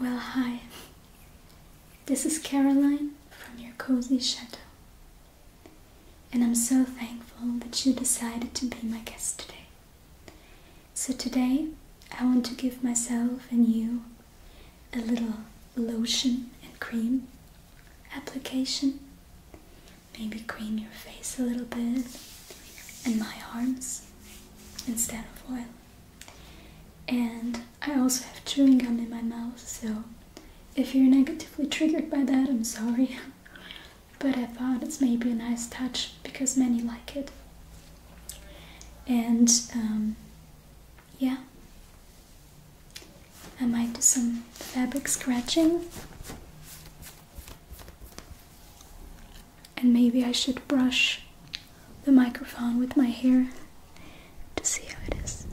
Well, hi. This is Caroline from your cozy shadow. And I'm so thankful that you decided to be my guest today. So, today I want to give myself and you a little lotion and cream application. Maybe cream your face a little bit and my arms instead of oil. And I also have chewing gum in my mouth, so if you're negatively triggered by that, I'm sorry. but I thought it's maybe a nice touch because many like it. And um, yeah, I might do some fabric scratching and maybe I should brush the microphone with my hair to see how it is.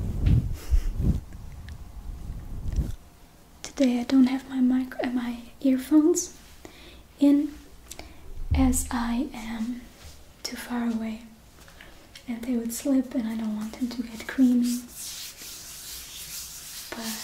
Today I don't have uh, my earphones in as I am too far away and they would slip and I don't want them to get creamy. But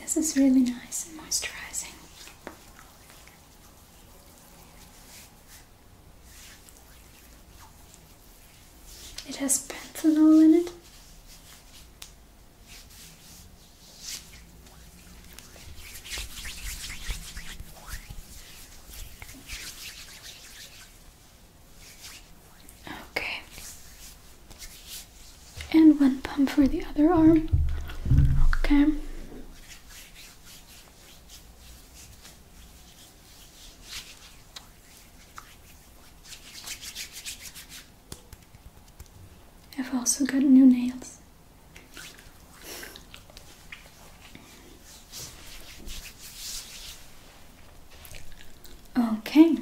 this is really nice and moisturizing. It has panthenol in it. Okay. And one pump for the other arm. Okay. I've also got new nails. Okay,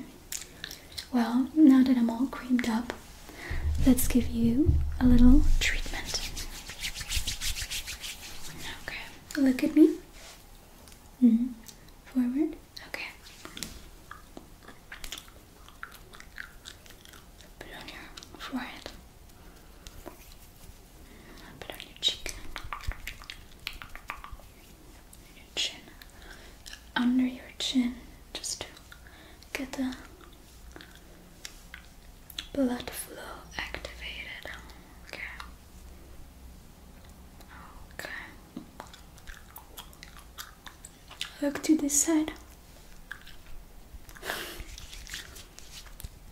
well, now that I'm all creamed up, let's give you a little treatment. Okay, look at me. -hmm. Forward. Okay. Put on your forehead. A on your cheek, chin, under your chin, just to get the blood flow activated. Okay. Okay. Look to this side.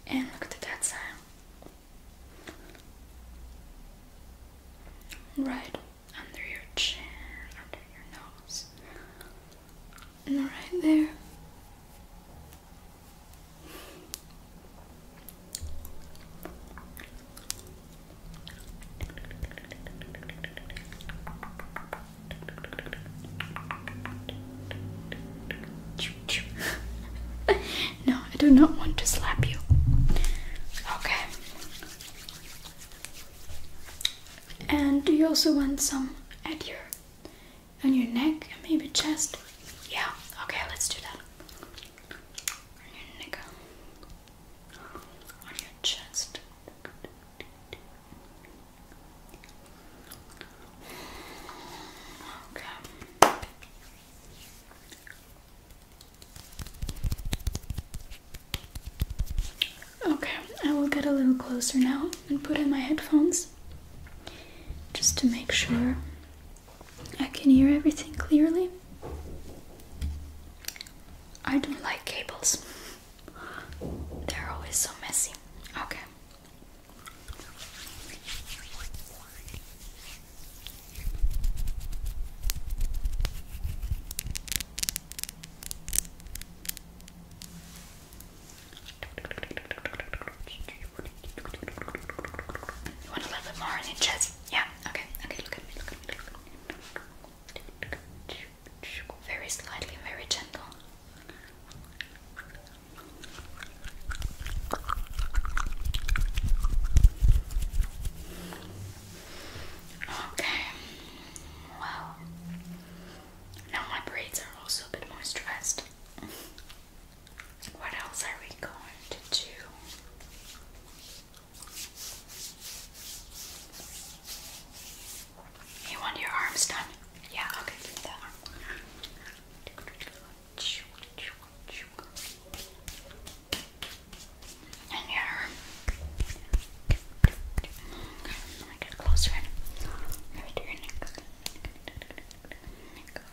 And look at that side. Right under your chin, under your nose, and right there. no, I do not want to slap you. Okay. And do you also want some at your on your neck and maybe chest? Yeah, okay, let's do that. On your neck. On your chest. Okay. Okay, I will get a little closer now and put in my headphones just to make sure I can hear everything clearly. I don't like cables, they're always so messy. Okay. You want a little bit more on Yeah, okay, okay, look at me, look at me. Very slightly, very gentle. Okay, well, now my braids are also a bit more stressed. What else are we going to do? You want your arms done? Yeah, okay, and here. Okay, let me get closer. Maybe do your neck.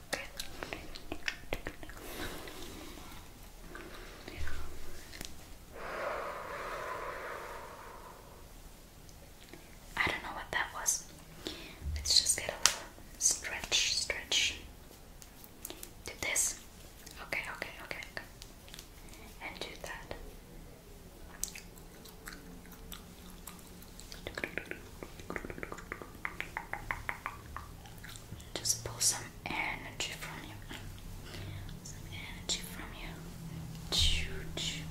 Okay. Okay. I don't know what that was. Let's just get a little stretch, stretch. Do this. Okay, okay, okay, okay. And do that. Just pull some energy from you. Some energy from you. Choo choo.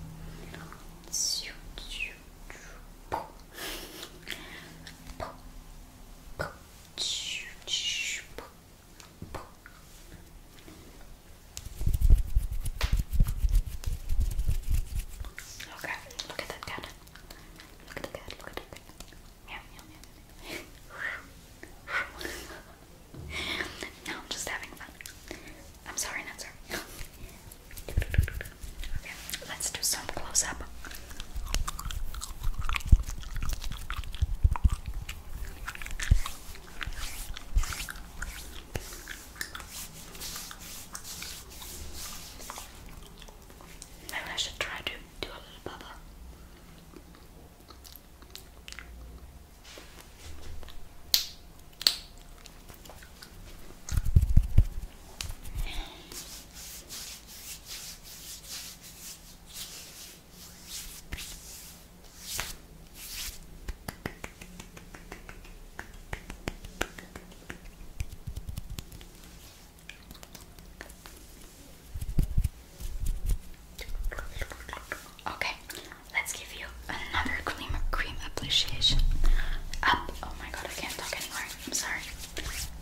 Choo choo Okay, look at that cat. Look at the cat, look at the cat. Meow, meow, meow. now I'm just having fun. I'm sorry, not sorry. okay, let's do some close up. Maybe I should try to do a little bubble. Okay, let's give you another cream cream appreciation. Up, oh my god. I can't talk anymore. I'm sorry.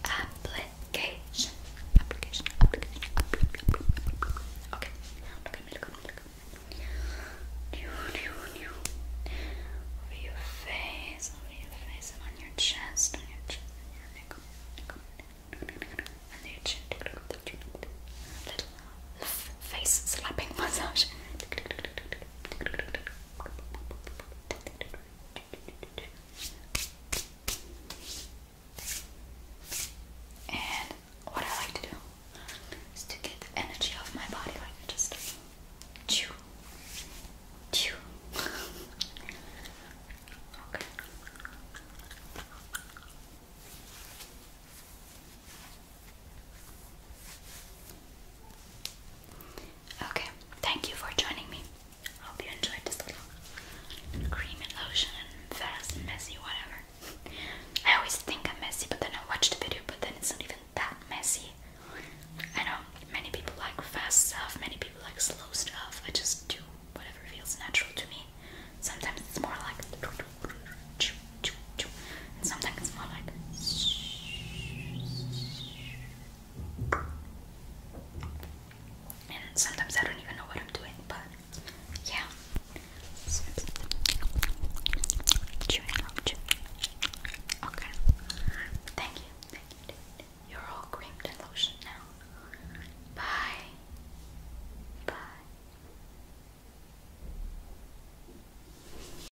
Application. Application. Application. Okay. Look Look Look Over your face. Over your face on your chest. On your chest. On your neck. And your chin. Little face slapping massage. And what I like to do is to get the energy off my body, like just chew, chew. okay. Okay, thank you for joining me. Hope you enjoyed this little cream and lotion and fast and messy, whatever. I always think I'm messy, but then I watch the video, but then it's not even that messy. I know many people like fast stuff, many people like slow stuff. I just do whatever feels natural to me. Sometimes it's more like and sometimes it's more like and sometimes I don't even know what I'm doing, but yeah. Okay. Thank you. You're all creamed and lotioned now. Bye. Bye.